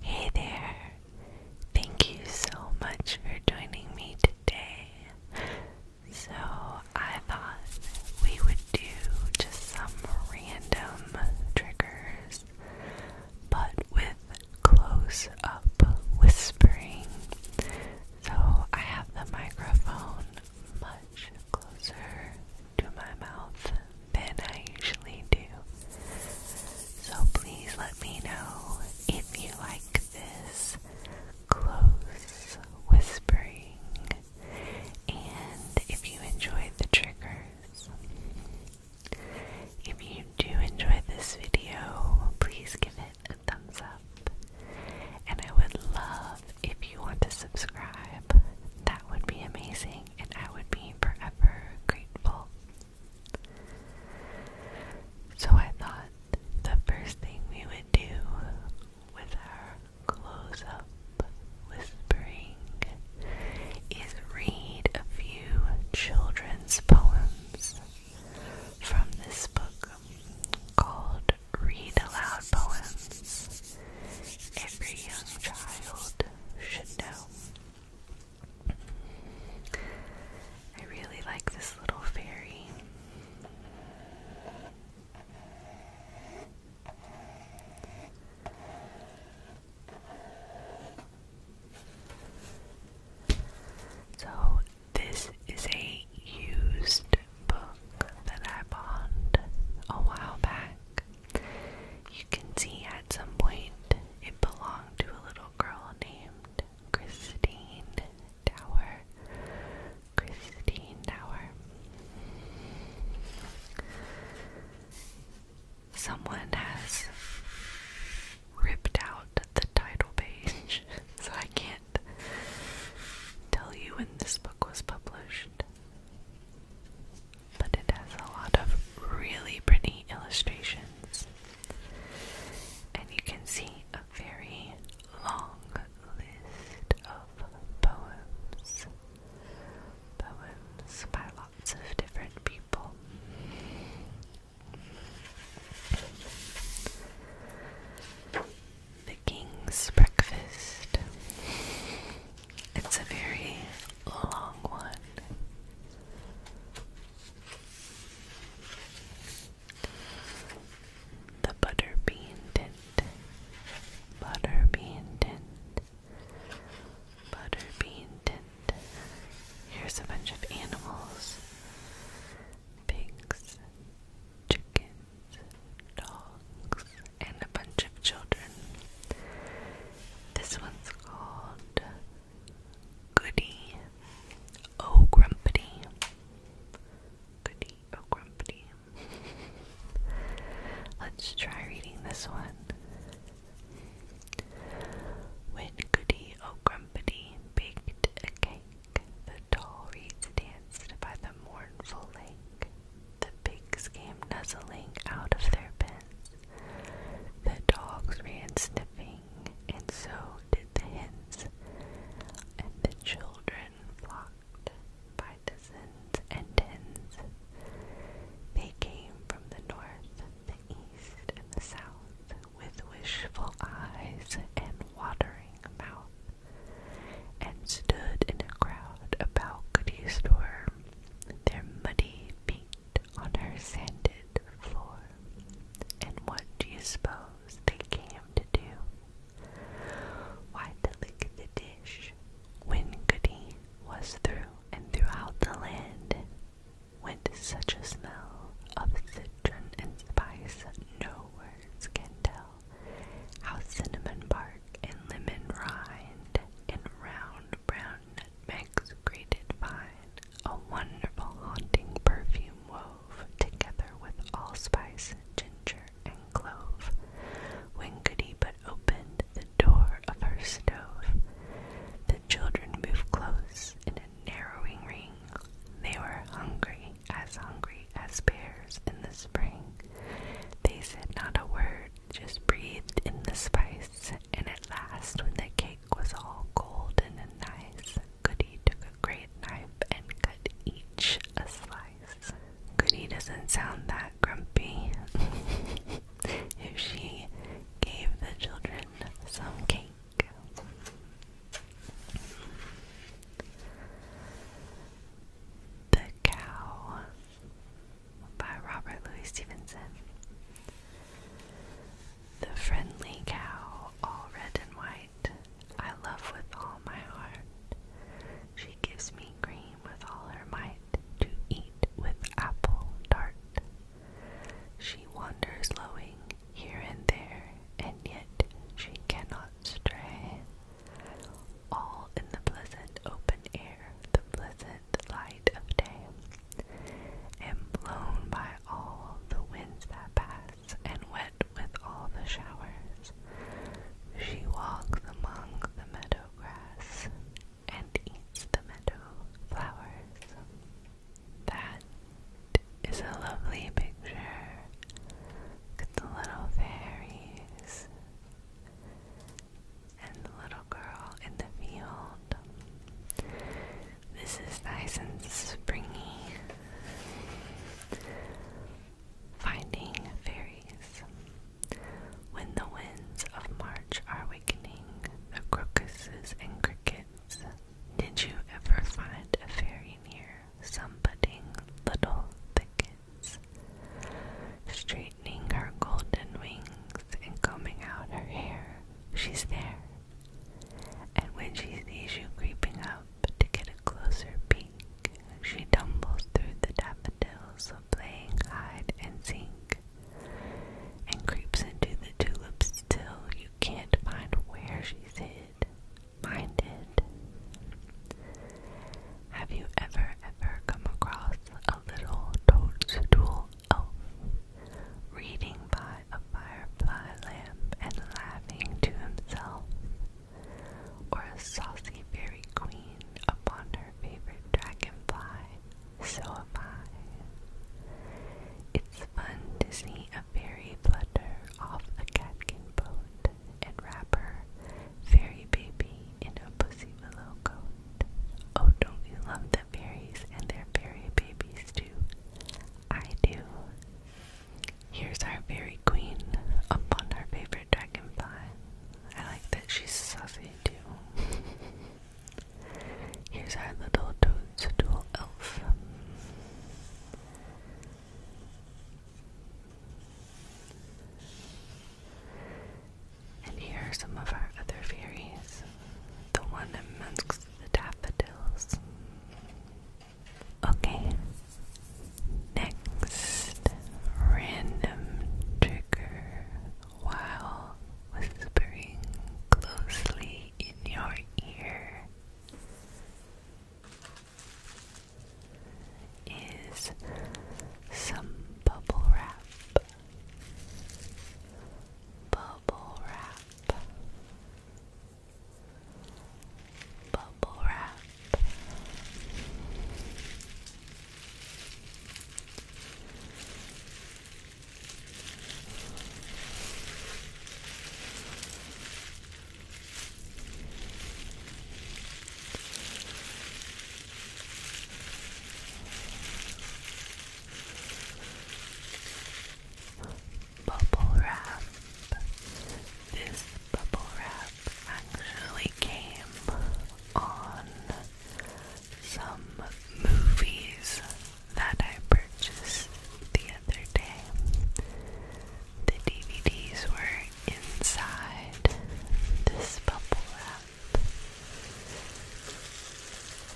Hey there! Thank you so much for joining me today. So, I thought we would do just some random triggers, but with close up whispering. So, I have the microphone much closer to my mouth than I usually do. So please let me know if you like this close whispering and if you enjoyed the triggers. If you do enjoy this video, please give it a thumbs up. And I would love if you want to subscribe. That would be amazing and I would be forever grateful. So I thought the first thing we would do with our close up whispering is read a few children's poems from this book called Read Aloud Poems. Every young child should know. I really like this little fairy. So, this is a used book that I bought a while back. You can see at some point it belonged to a little girl named Christine Tower. Christine Tower. Someone has ripped out the title page, so I can't tell you when this book was published but it has a lot of really pretty illustrations. And you can see a very long list of poems. Poems by lots of different people. The King's Breakfast. It's a very long one. The butterbean tint, butterbean tint, butterbean tint. Here's a bunch of animals pigs, chickens, dogs, and a bunch of children. This one's called Goody, oh grumpity. Goody, oh grumpity. Let's try reading this one. When Goody, oh grumpity baked a cake, the tall reeds danced by the mournful lake. The pigs came nuzzling out of their pens. The dogs ran sniffing and so did the hens, and the children flocked by dozens and tens. They came from the north, the east, and the south, with wishful eyes and watering mouths, and stood in a crowd about Goody's store, their muddy feet on her sanded floor. And what do you suppose they came to do? Why, to lick the dish when Goody was through, and throughout the land went such a smell of citron and spice, no words can tell how cinnamon bark and lemon rind and round brown nutmegs grated fine, a wonderful haunting perfume wove together with allspice, ginger, and clove. When Goody but opened the door of her stove, the children moved close in a narrowing ring. They were hungry, as hungry as bears in the spring. They said not a word, just breathed in the spice, and at last, when they came cake was all golden and nice, Goody took a great knife and cut each a slice. Goody doesn't sound that grumpy. if she gave the children some cake. The Cow by Robert Louis Stevenson. The friendly cow, all red and white, I love with all my heart. She gives me cream with all her might to eat with apple tart. She wanders lowing here and there, and yet she cannot stray. All in the pleasant open air, the pleasant light of day and blown by all the winds that pass, and wet with all the showers. She walks among the meadow grass and eats the meadow flowers. That is a lovely picture. the little fairies and the little girl in the field. This is nice and springy. Finding fairies. When the winds of March are awakening, the crocuses and crickets. Did you ever find a fairy near some budding little thickets? Straightening her golden wings and combing out her hair, she's there, and when she sees you creeping out to get a closer peek, she tumbles through the daffodils, playing hide and seek, and creeps into the tulips till you can't find where she's hid. Minded. Have you ever, ever come across a little toadstool oaf, oh. reading by a firefly lamp and laughing to himself, or a saucy fairy queen upon her favorite dragonfly, so am I. It's fun to see a fairy flutter off a catkin boat and wrap her fairy baby in a pussy willow coat. Oh, don't you love them? fairies and their fairy babies too. I do. Here's our fairy queen upon our favorite dragonfly. I like that she's saucy too. Here's our little toadstool elf. And here are some of our other fairies the one amongst the daffodils. Okay, next random trigger while whispering closely in your ear is some bubble wrap. Bubble wrap bubble wrap bubble wrap. This bubble wrap actually came on some movies that I purchased the other day. The DVDs were inside this bubble wrap.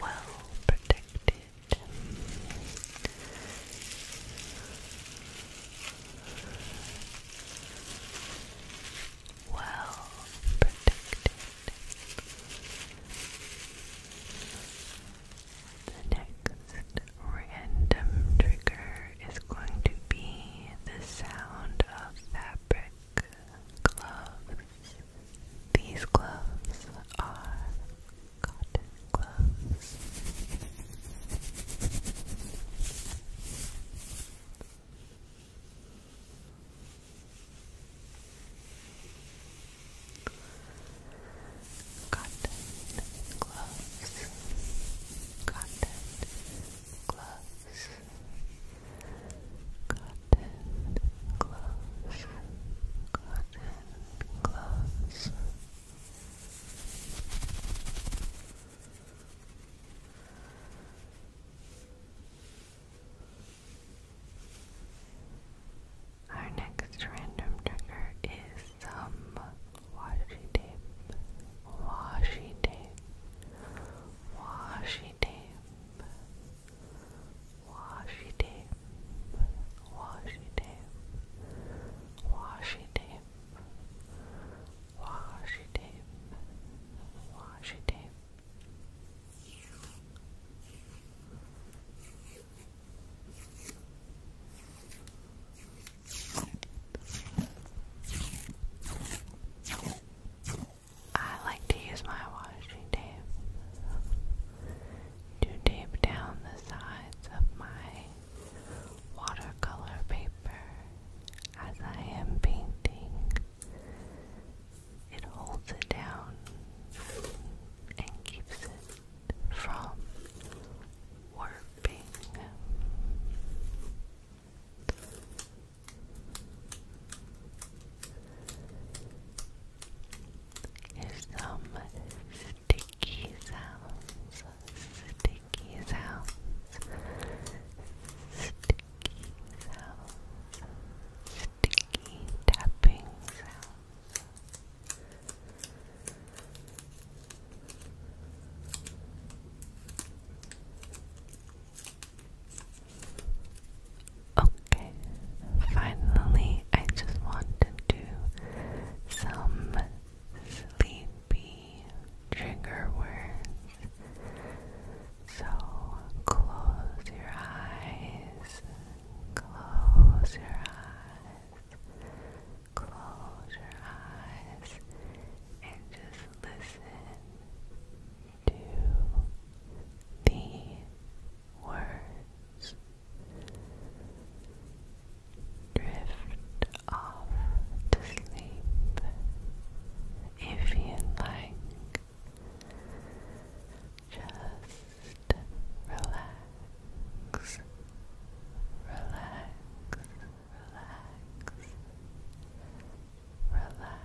Well protected it. Well protected. The next random trigger is going to be the sound of fabric gloves. These gloves are cotton gloves. Cotton gloves, cotton gloves, cotton gloves, and close. Our next random trigger is some washi tape, washi tape, washi tape, Washi tape, washi tape, washi tape, washi tape, washi tape. I like to use my washi tape to tape down the sides of my watercolor paper as I am painting. It holds it down and keeps it from warping is some sticky sounds. Sticky sounds. Sticky sounds. Sticky tapping sounds. Okay, finally I just want to do some sleepy trigger words. So close your eyes, close your eyes, close your eyes, and just listen to the words. Drift off to sleep if you like. Just relax, relax, relax, relax, relax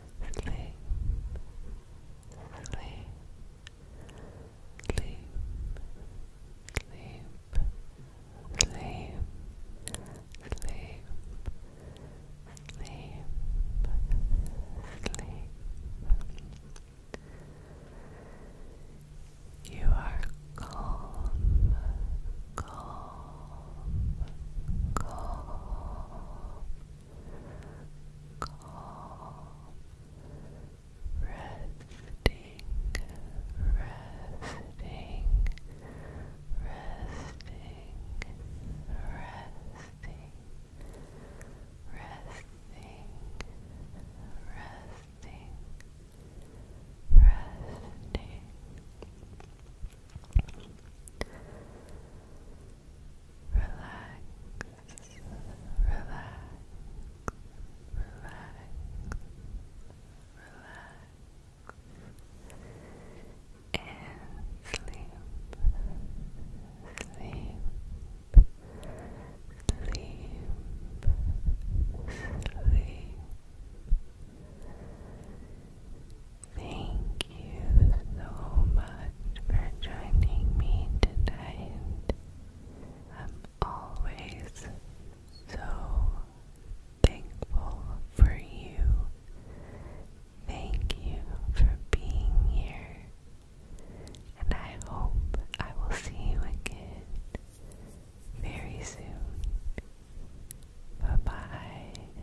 sleep, sleep, sleep, sleep, sleep, sleep, sleep, sleep. You are calm, calm, calm, calm, resting, resting, resting, resting, resting, resting, resting relax, relax, relax, relax, and sleep, sleep, sleep, sleep. Thank you so much for joining me tonight. I'm always so thankful for you. Thank you for being here. And I hope I will see you again very soon. Bye bye.